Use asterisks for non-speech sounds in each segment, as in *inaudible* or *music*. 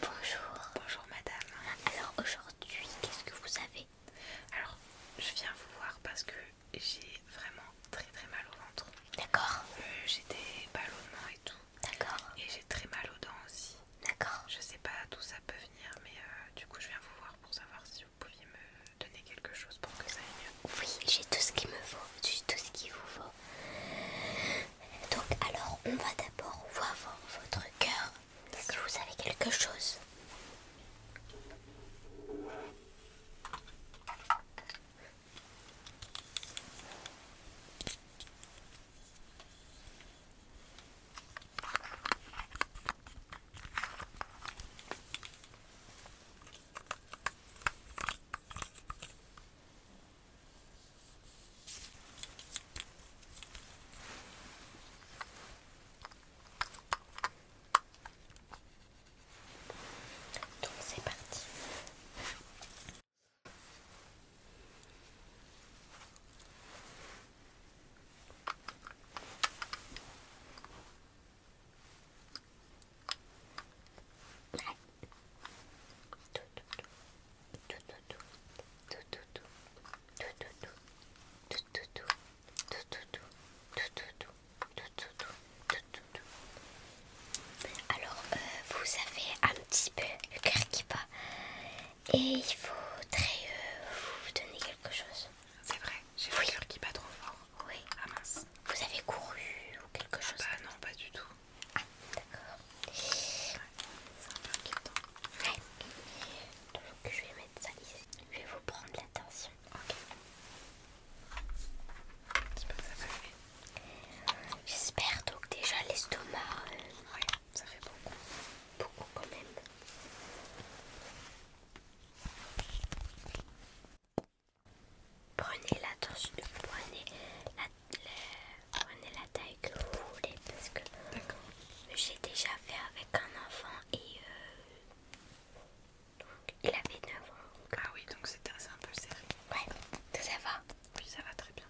Bonjour. Bonjour madame. Alors aujourd'hui, qu'est-ce que vous avez Alors, je viens vous voir parce que j'ai vraiment très très mal au ventre. D'accord. Euh, j'ai des ballonnements et tout. D'accord. Et j'ai très mal aux dents aussi. D'accord. Je sais pas d'où ça peut venir, mais euh, du coup, je viens vous voir pour savoir si vous pouviez me donner quelque chose pour que ça aille mieux. Oui, j'ai tout ce qui me vaut, j'ai tout ce qui vous vaut. Donc alors on va d'abord voir votre cœur si vous avez quelque chose. Donc c'est parti. Alors, euh, vous avez un petit peu le cœur qui bat et il faudrait très euh, vous donner quelque chose. C'est vrai, j'ai vu le cœur qui bat trop fort. Oui. Ah mince. Vous avez couru ou quelque ah chose bah, Non, pas du tout d'accord. Donc je vais mettre ça ici. Je vais vous prendre l'attention. Ok. J'espère que ça va mieux J'espère donc déjà l'estomac. Euh, ça fait beaucoup. Beaucoup quand même. Prenez l'attention, de poignet prenez la taille que vous voulez parce que j'ai déjà fait avec un enfant et euh, il avait 9 ans. Ah oui, donc c'était un peu serré. Ouais, ça va Oui, ça va très bien.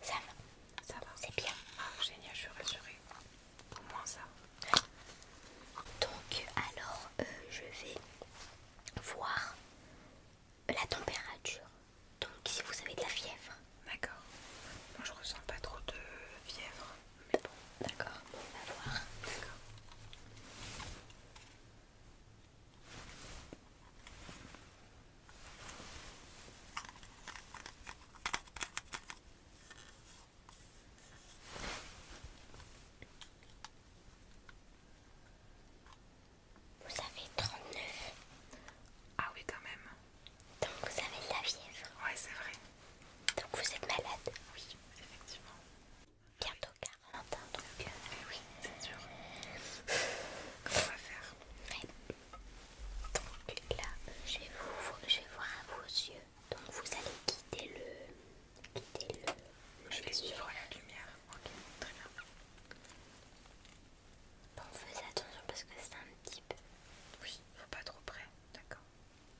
Ça va Ça va C'est bien. Ah, génial, je suis rassurée. Au moins ça. Donc, alors, euh, je vais voir la température. Donc, si vous avez de la fièvre. D'accord. Moi, je ressens pas trop de fièvre. Mais bon. D'accord, on va voir. D'accord. Vous avez 39. Ah oui quand même. Donc vous avez de la fièvre. Ouais c'est vrai. Donc vous êtes malade. Oui, effectivement bientôt 40 ans donc euh, eh oui c'est sûr comment on va faire donc là je vais, vous, voir à vos yeux donc vous allez guider le quitter le je vais suivre la lumière ok très bien bon fais attention parce que c'est un petit peu oui faut pas trop près d'accord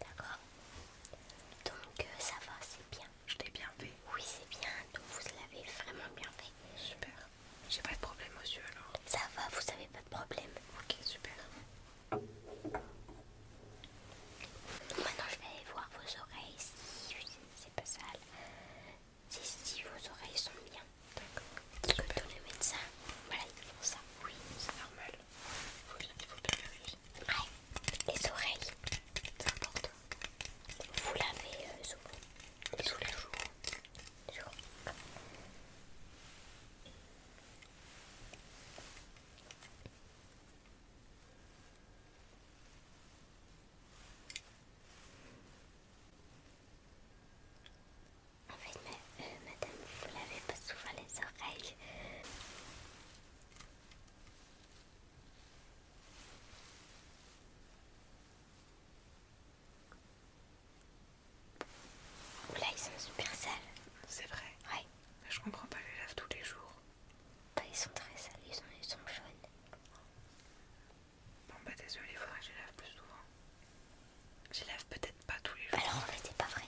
D'accord. Donc euh, ça va, c'est bien. Je t'ai bien fait. Oui, c'est bien. Donc vous l'avez vraiment bien fait. Super. J'ai pas de problème aux yeux alors. Ça va, vous avez pas de problème. Ok, super. Maintenant je vais aller voir vos oreilles si c'est pas sale. Si, vos oreilles sont bien. D'accord. Que tous les médecins, voilà, ça. Oui, c'est normal. Faut il faut bien Ouais, les oreilles. C'est important. Vous l'avez euh, souvent. Tous les jours toujours. En fait, euh, madame, vous l'avez pas souvent les oreilles. Là, ils sont super sales. C'est vrai Ouais. je comprends pas, je les lave tous les jours. Bah, ils sont très sales, ils sont, jaunes. Bon, bah, désolé, il faudrait que je lave plus souvent. Je lave peut-être pas tous les jours. Alors, en fait, c'est pas vrai.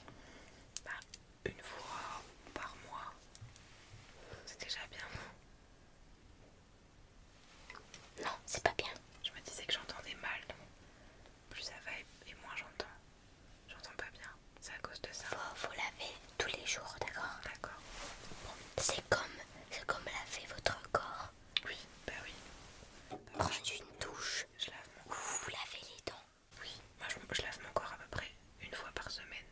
Bah, une fois par mois, c'est déjà bien, non, c'est pas bien. Je me disais que j'entendais mal, plus ça va et, moins j'entends. J'entends pas bien, c'est à cause de ça. Faut laver tous les jours, d'accord D'accord. C'est comme, comme laver votre corps. Oui, bah oui. Prendre une douche. Je lave mon Vous, les dents. Oui, moi je, je lave mon corps à peu près une fois par semaine.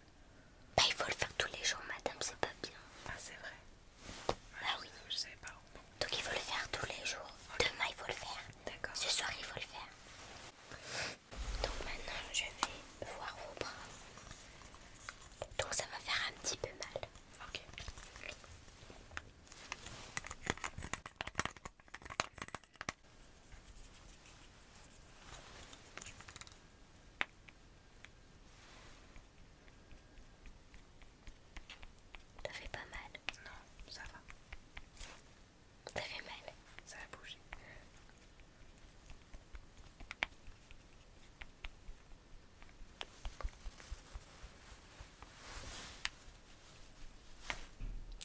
Bah il faut le faire tous les jours, madame, c'est pas bien. Ah c'est vrai. Ah oui. Donc il faut le faire tous les jours. Demain il faut le faire. D'accord. Ce soir il faut le faire. Donc maintenant je vais voir vos bras. Donc ça va faire un petit peu mal. Ok. Ça fait pas mal. Non, ça va. Ça fait mal. Ça a bougé.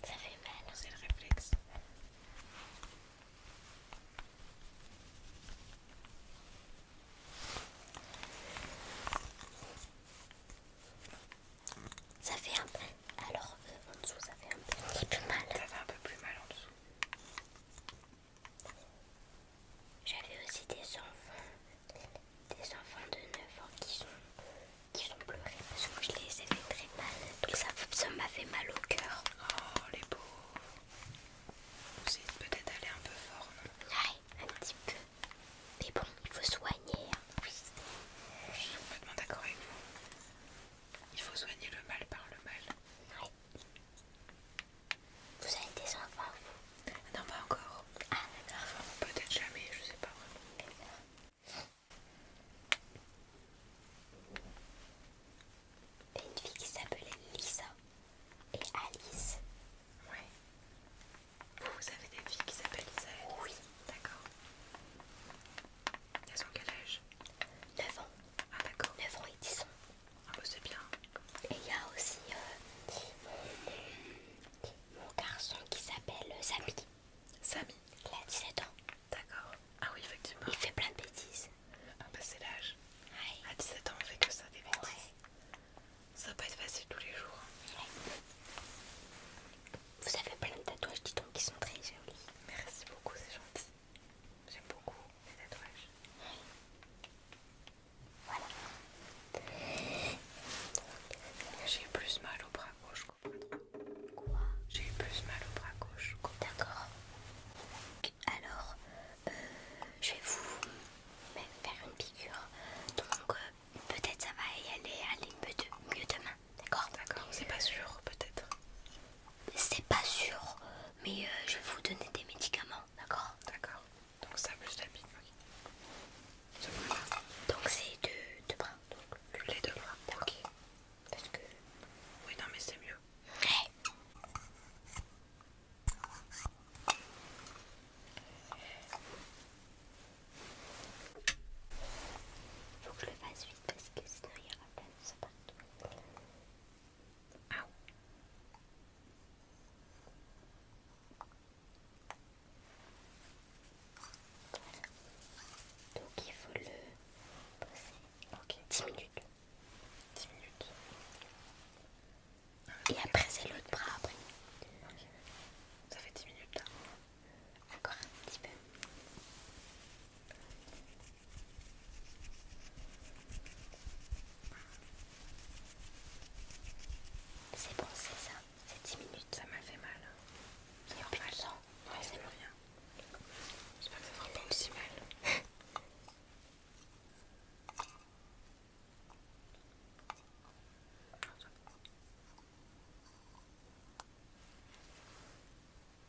Ça fait mal. C'est le réflexe. Ça fait un peu... Alors, euh, en dessous, ça fait un petit peu mal. Ça fait un peu plus mal en dessous. J'avais aussi des enfants, des enfants de 9 ans qui sont, qui sont pleurés parce que je les ai fait très mal. Donc ça, ça m'a fait mal au cœur. Oh les pauvres. Vous peut-être aller un peu fort, non un petit peu. Mais bon, il faut soigner. Hein. Oui. Je suis complètement d'accord avec vous. Il faut soigner le mal par le mal. Vous avez des enfants, vous Non, pas encore. Ah, enfin, peut-être jamais, je sais pas vraiment. Une fille qui s'appelait Lisa et Alice oui. Vous, avez des filles qui s'appellent Isaël Oui. D'accord. Elles ont quel âge 9 ans. Ah d'accord. 9 ans et 10 ans. Ah bah c'est bien. Et il y a aussi euh, mon, garçon qui s'appelle euh, Samy. Samy Il a 17 ans. D'accord. Ah oui, effectivement. Il fait plein de bêtises. Ah bah c'est l'âge. Oui. À 17 ans, on fait que ça, des bêtises. Ça va être facile tous les jours. Vous avez plein de tatouages, dis donc, qui sont très jolis. Merci beaucoup, c'est gentil. J'aime beaucoup les tatouages. Voilà. J'ai eu plus mal au bras gauche Quoi J'ai eu plus mal au bras gauche. D'accord. Alors, euh, je vais vous faire une piqûre. Donc euh, peut-être ça va y aller, aller mieux, mieux demain. D'accord D'accord, c'est pas sûr peut-être. C'est pas sûr, mais euh, je vais vous donner des médicaments. D'accord D'accord. Donc ça plus la piqûre. Donc c'est deux, deux bras. Donc, les deux bras. Ok. Parce que... Oui non mais c'est mieux. Faut que je le fasse vite parce que sinon il y aura plein de ça partout. Ah. Donc il faut le poser. Ok, 10 minutes. 10 minutes. Et après c'est l'autre bras après. Ça fait 10 minutes là. Hein. Encore un petit peu. C'est bon, c'est ça, c'est 10 minutes. Ça m'a fait mal. Ça m'a le sang Ouais, c'est bon. rien. J'espère que ça fera pas aussi mal. *laughs*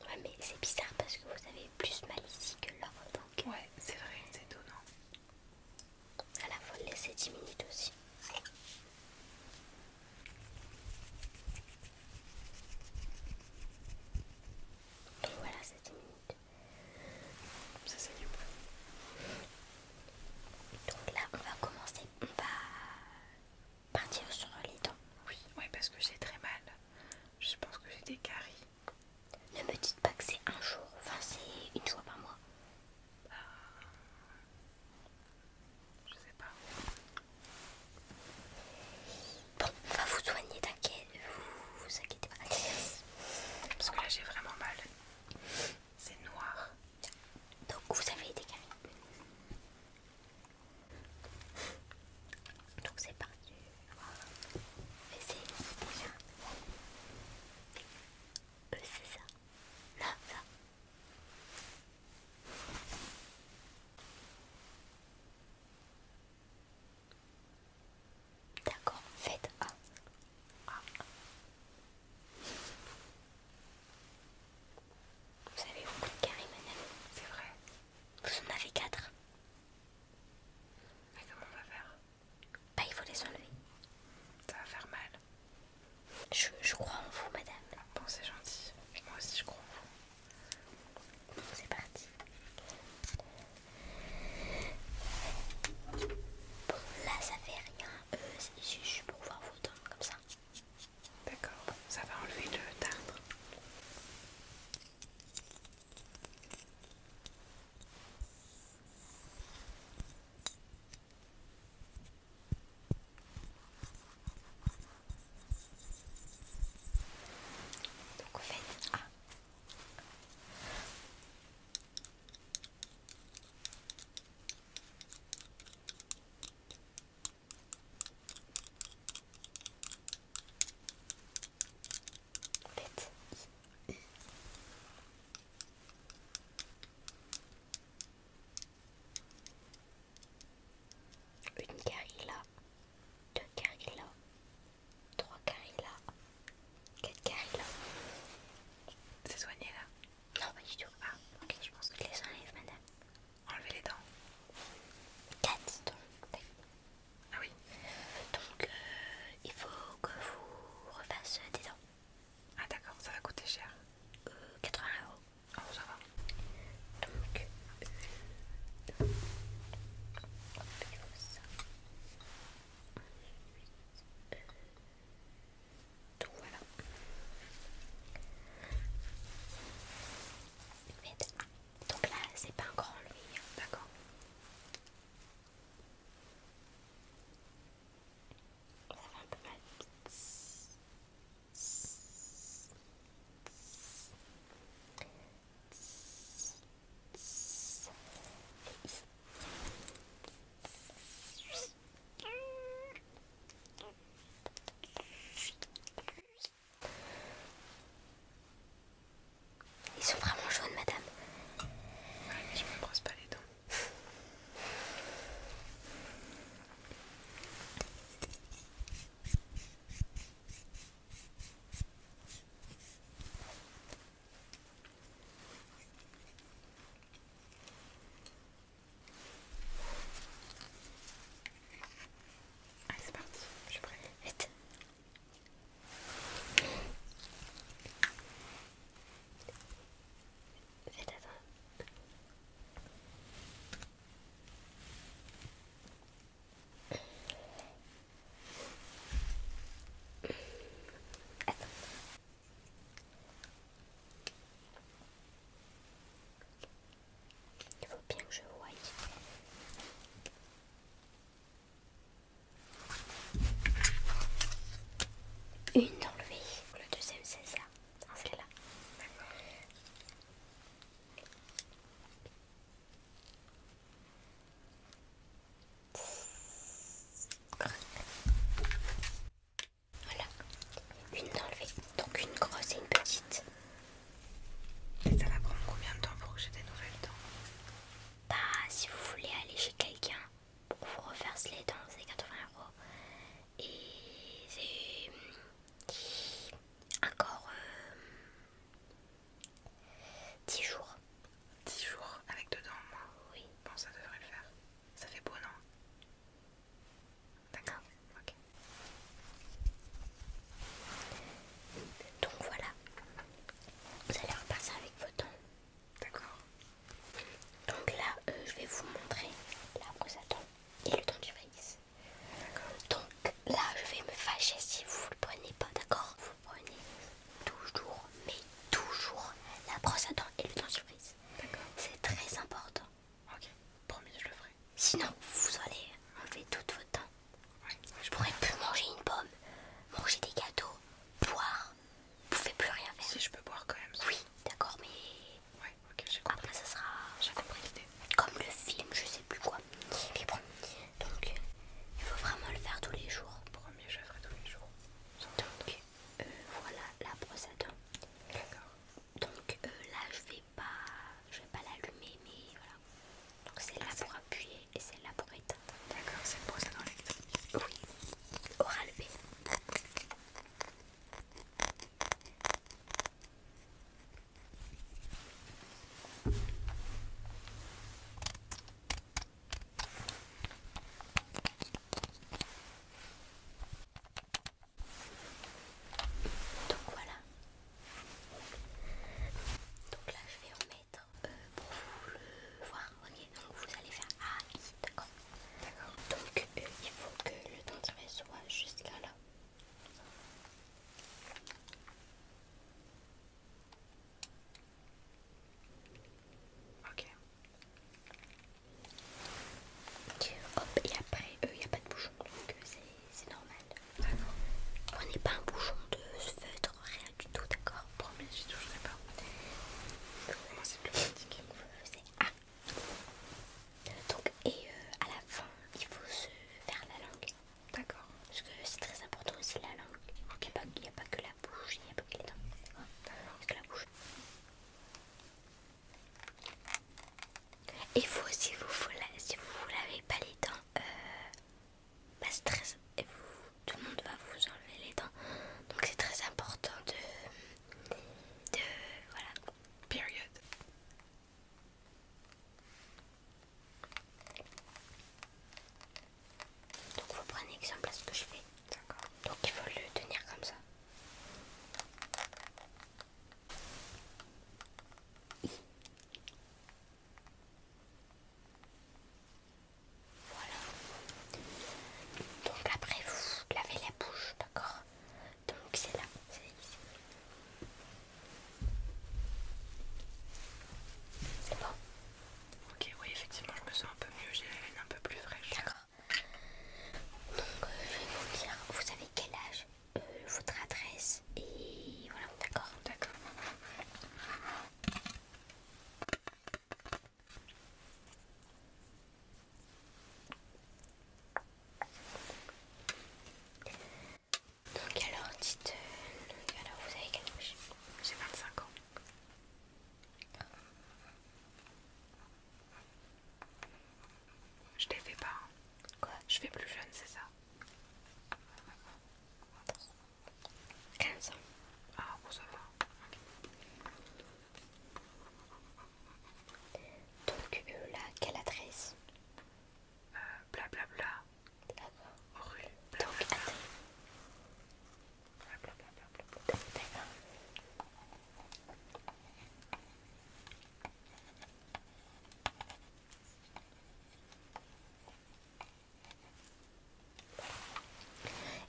Ouais, mais c'est bizarre parce que vous avez plus mal ici que là. Donc... Ouais, c'est vrai, c'est étonnant. À la fois, laisser 10 minutes aussi. Et voilà, c'est 10 minutes. Ça ça pas. Donc là, on va commencer. On va partir sur les dents. Hein. Oui, ouais, parce que j'ai très mal. Je pense que j'ai des caries. Ne me dites pas que c'est un jour. Enfin, c'est une fois par mois. Ah. Je sais pas. Bon, on va vous soigner, t'inquiète. Vous, vous inquiétez pas. Parce que là j'ai vraiment mal. C'est noir. Donc vous avez été carré. Donc c'est parti. Mais c'est euh, c'est ça. Là, ça. D'accord, faites A. A. Vous avez beaucoup de carrés, madame. C'est vrai. Vous en avez quatre. Mais comment on va faire Bah, il faut les enlever. Ça va faire mal. Je, je crois en vous, madame. Ah, bon, c'est gentil. Moi aussi, je crois en vous. C'est parti là ça fait rien, euh, Je je pour voir vos dents comme ça. D'accord, ça va enlever le tartre. Donc en fait, ah, une carilla, deux carilla, 3 carrés là, 4 carrés là. C'est soigné là Non, pas du tout. Ah, ok, je pense que les enlève, madame. Enlevez les dents. 4 dents. Ah oui. Donc, euh, il faut que vous refassiez des dents. Ah, d'accord, ça va coûter cher. 80 euh, euros. Oh, ça va. Donc, ça. Euh, donc voilà. Donc là, c'est pas un grand lui, d'accord ils sont vraiment jaunes, madame. mais je me brosse pas les dents. Allez, c'est parti, je suis prête. Vite. Faites attention. Il faut bien que je voie. Une enlevée. Le deuxième c'est ça. c'est c'est là. Voilà, une enlevée, donc une grosse et une petite. Et ça va prendre combien de temps pour que j'ai des nouvelles dents Bah, si vous voulez aller chez quelqu'un pour vous refaire les dents, c'est 80 euros. Et c'est hum, encore euh, 10 jours. 10 jours avec dedans moi Oui. Bon, ça devrait le faire. Ça fait beau, non D'accord, ok. Donc voilà. Vous allez repasser avec vos dents. D'accord. Donc là, euh, je vais vous montrer la brosse à dents et le temps du maïs. D'accord. Donc là, je vais me fâcher si vous le prenez pas, d'accord Vous prenez toujours, mais toujours, la brosse à dents et le dentifrice. D'accord. C'est très important. Ok, promis, je le ferai. Sinon, vous allez enlever toute votre temps. Ouais. Je pourrais plus manger une pomme, manger des gâteaux, boire. Vous ne pouvez plus rien faire. Si je peux boire quand même. Oui, d'accord, mais. Ouais, ok, j'ai compris. Après, ça sera. J'ai compris comme le film, je sais plus quoi. bon, donc il faut vraiment le faire tous les jours. mieux je le ferai tous les jours. Donc euh, voilà la brosse à dents. D'accord. Donc euh, là, je vais pas, je vais pas l'allumer, mais voilà. Donc c'est là ah, pour appuyer et c'est là pour éteindre. D'accord, c'est une brosse à dents électrique. Oui. Oral B. Donc voilà. Donc là je vais remettre euh, pour vous le voir. donc vous allez faire A, I, d'accord Donc euh, il faut que le dentifrice soit jusqu'à là. Ok. Hop, et après, il euh, n'y a pas de bouchon, donc euh, c'est normal. On n'est pas un bouchon de feutre, rien du tout, d'accord Promis, ne toucherai pas. Moi, c'est plus pratique. Donc, et euh, à la fin, il faut se faire la langue. D'accord. Parce que c'est très important aussi la langue. Il n'y a, pas que la bouche, il n'y a pas que les dents. Ah, c'est que la bouche. Et vous, si vous ne si vous lavez pas les dents, euh, très. tout le monde va vous enlever les dents. Donc c'est très important de. de. voilà. Period. Donc vous prenez exemple à ce que je fais. D'accord. Donc il faut le tenir comme ça. Voilà. Donc après vous lavez la bouche, d'accord Donc c'est là, c'est Ok, oui, effectivement, je me sens un peu mieux, j'ai la laine un peu plus fraîche. D'accord. Donc, euh, je vais vous dire, vous savez quel âge, euh, votre adresse, et voilà, d'accord D'accord. Donc alors dites nous, euh, alors vous avez quel âge J'ai 25 ans. Je t'ai fait pas. Hein. Quoi Je fais plus jeune, c'est ça 15 ans. Ah bon ça va. Donc euh, là, quelle adresse blablabla, euh, bla rue, Donc, Bla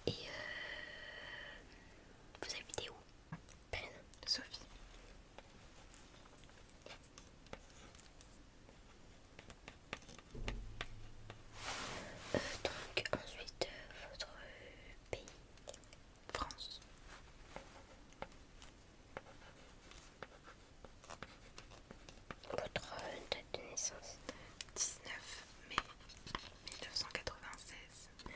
Et euh, vous habitez où Sophie donc ensuite euh, votre pays France. Votre date de naissance 19 mai 1996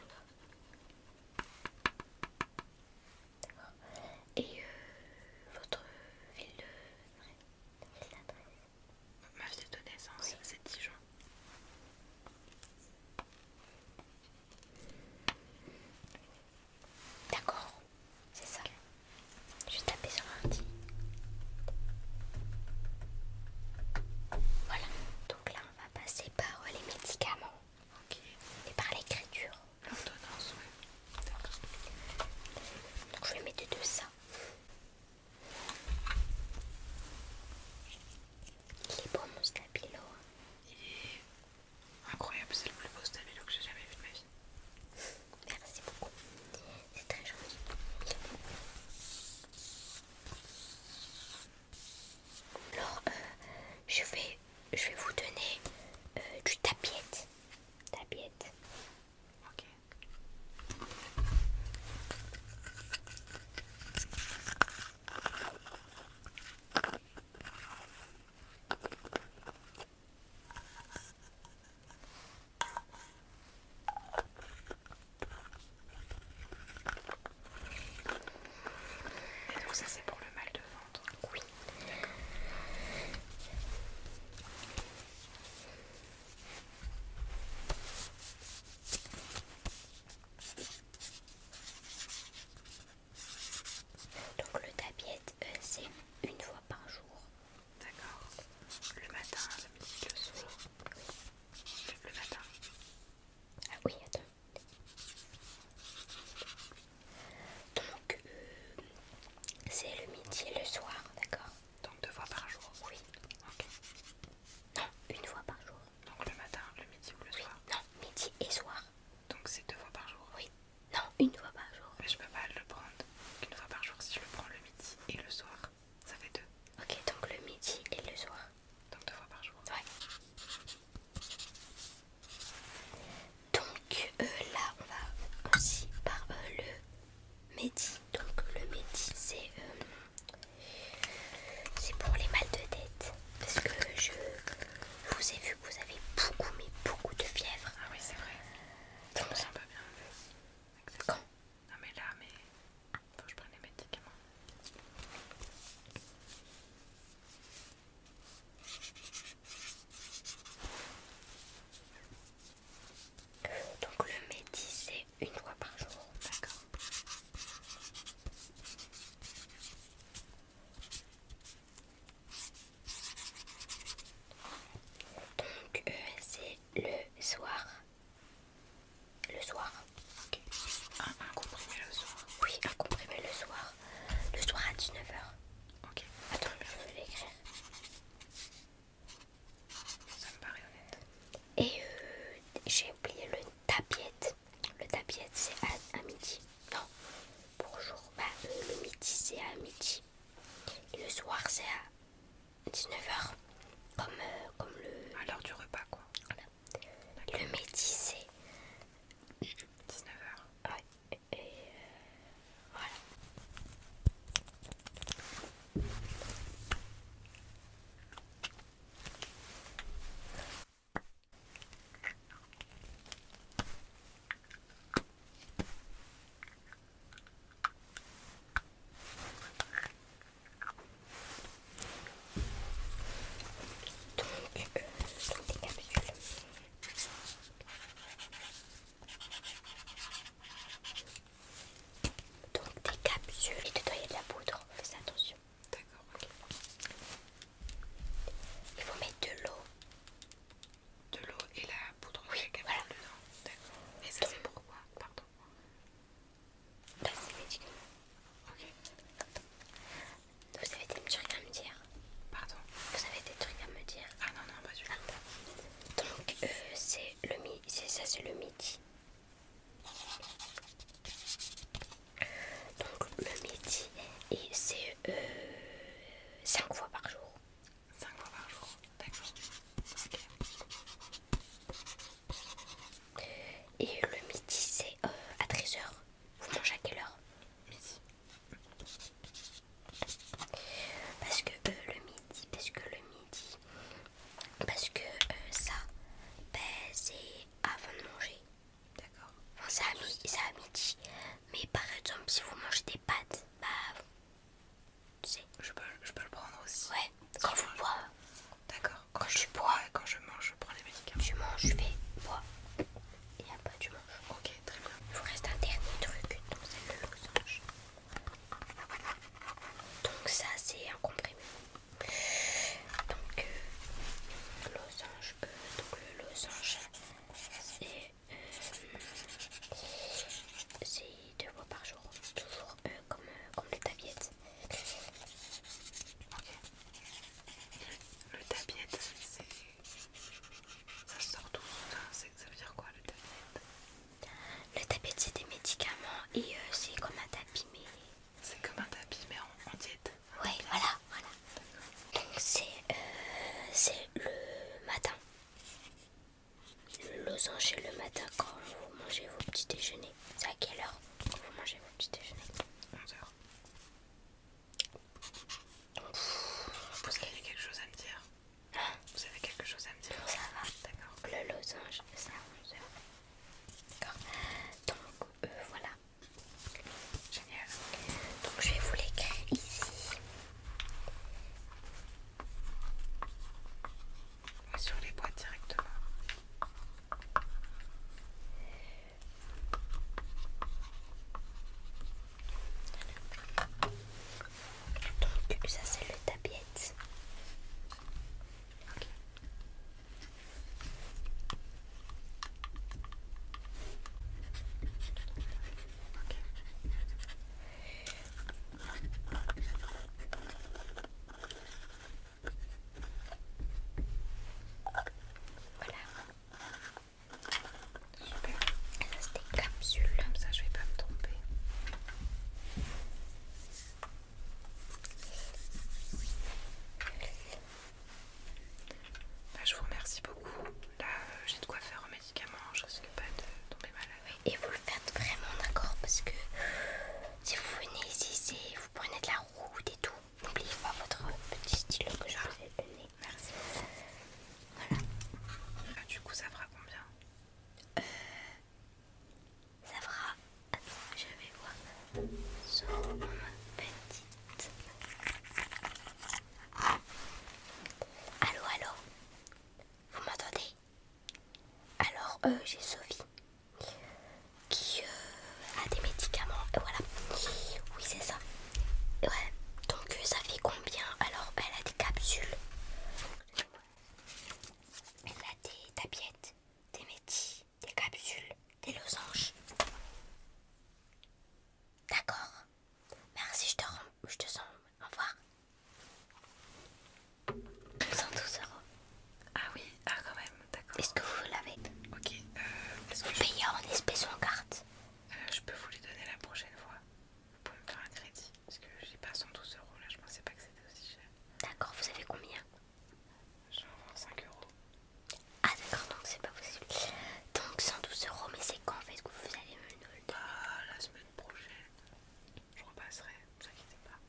d'accord Et euh, votre ville d'adresse Ma ville de c'est c'est juin. D'accord, c'est ça. Je vais taper sur un Voilà, donc là on va passer par les médicaments. Ok. Et par l'écriture. L'ordonnance, oui. D'accord. Donc je vais mettre de ça. Il est beau mon stabilo. Hein. Il est incroyable, c'est le plus beau stabilo que j'ai jamais vu de ma vie. Merci beaucoup. C'est très gentil. Alors, euh, je vais je vais vous donner euh, du tapiette. Tapiette. donc ça c'est pour le mal de ventre. Donc le tapis euh, c'est une fois par jour. D'accord. Le matin, le midi, le soir. Le, le matin. Ah oui, attends. Donc, euh, c'est le midi et le soir, d'accord Donc deux fois par jour Oui. Ok. Non, une fois par jour. Donc le matin, le midi ou le soir Non, midi et soir. Donc c'est deux fois par jour Oui. Non, une fois par jour. Mais je peux pas le prendre une fois par jour si je le prends le midi et le soir. Ça fait deux. Ok, donc le midi et le soir. Donc deux fois par jour. Ouais. Donc euh, là on va aussi par euh, le Mehdi. Donc le Mehdi euh, c'est pour les mal de tête. Parce que je vous ai vu que vous avez beaucoup mais beaucoup de fièvre. Ah oui c'est vrai. Ça me sent pas bien. Exactement. non mais là mais faut que je prenne les médicaments. Donc le métis c'est une fois par jour, d'accord Donc euh, c'est le soir. Le soir. un le soir. Oui, un comprimé le soir. Le soir à 19h. Ok. Attends, je vais l'écrire. Ça me paraît honnête. Et euh, j'ai oublié le tapiette. Le tapiette c'est à, midi. Non, bonjour. Bah, euh, le midi c'est à midi. le soir c'est à 19h. Comme, euh, comme le. À l'heure du repas quoi. Le métis, c'est 19h. Et euh, voilà. Donc, euh, des capsules. Donc des capsules et y avoir de la poudre, Fais attention. D'accord, ok. Il faut mettre de l'eau. De l'eau et la poudre oui, voilà. dedans. D'accord. Mais ça c'est pourquoi Pardon. Ok. Vous avez des trucs à me dire Pardon Vous avez des trucs à me dire Ah non, non, pas du tout. Donc, euh, c'est le ça, c'est le midi. Donc, le midi, et c'est 5 euh, fois par jour. 5 fois par jour, d'accord. Et le midi, c'est euh, à 13h. Vous mangez à quelle heure Midi. Parce que euh, le midi, parce que le midi, parce que euh, ça, ben, c'est avant de manger. D'accord. Enfin, c'est à, midi. Mais par exemple, si vous mangez des pâtes, bah. Tu sais. Je peux, le prendre aussi. Ouais, quand vous boivez. D'accord quand je bois et quand je mange, je prends les médicaments. je manges, je fais, bois et après tu manges. Ok, très bien. Il vous reste un dernier truc, donc c'est le losange. Donc, ça c'est un comprimé. Donc, euh, losange, euh, le losange c'est euh, deux fois par jour, toujours comme, comme les le tabiet, c'est. Ça sort tout ça, ça veut dire quoi le tabiet Le tabiette, c'est des médicaments et euh, c'est comme un tapis, mais. C'est comme un tapis, mais en, dit diète. voilà, voilà. Donc euh, c'est le matin. Le losange le matin quand vous mangez vos petits déjeuners. à quelle heure vous mangez vos petits déjeuners 11h. Vous avez quelque chose à me dire Vous avez quelque chose à me dire Ça D'accord. Le losange, c'est à 11 D'accord. Donc, euh, voilà. Génial. Donc, je vais vous l'écrire ici. Sur les boîtes directement. Donc ça c'est le tapiette. Voilà. Super. c'est des capsules. Comme ça je vais pas me tromper. je vous remercie beaucoup. Là euh, j'ai de quoi faire au médicament. Je risque pas de tomber malade. et vous le faites vraiment d'accord parce que si vous venez ici, vous prenez de la route et tout. N'oubliez pas votre petit stylo que je vous ai donné. Merci. Voilà. Ah, du coup, ça fera combien euh, Ça fera. Attends, je vais voir. Sur ma petite. Allô, allô Vous m'entendez Alors, euh, j'ai Sophie qui euh, a des médicaments. Et voilà. Oui, c'est ça. Ouais. Donc euh, ça fait combien Alors, elle a des capsules. Elle a des tablettes, des métis, des capsules, des losanges. D'accord. Merci, je te je te sens. Au revoir. euros. Ah oui, ah quand même, d'accord. Est-ce que vous l'avez Ok, vous euh, je... payez en espèces ou en carte euh, Je peux vous les donner la prochaine fois. Vous pouvez me faire un crédit, parce que j'ai pas 112 euros là, je pensais pas que c'était aussi cher. D'accord, vous avez combien Genre 5 euros. Ah d'accord, donc c'est pas possible. Donc 112 euros, mais c'est quand en fait que vous allez me le donner bah, la semaine prochaine, je repasserai, ne vous inquiétez pas.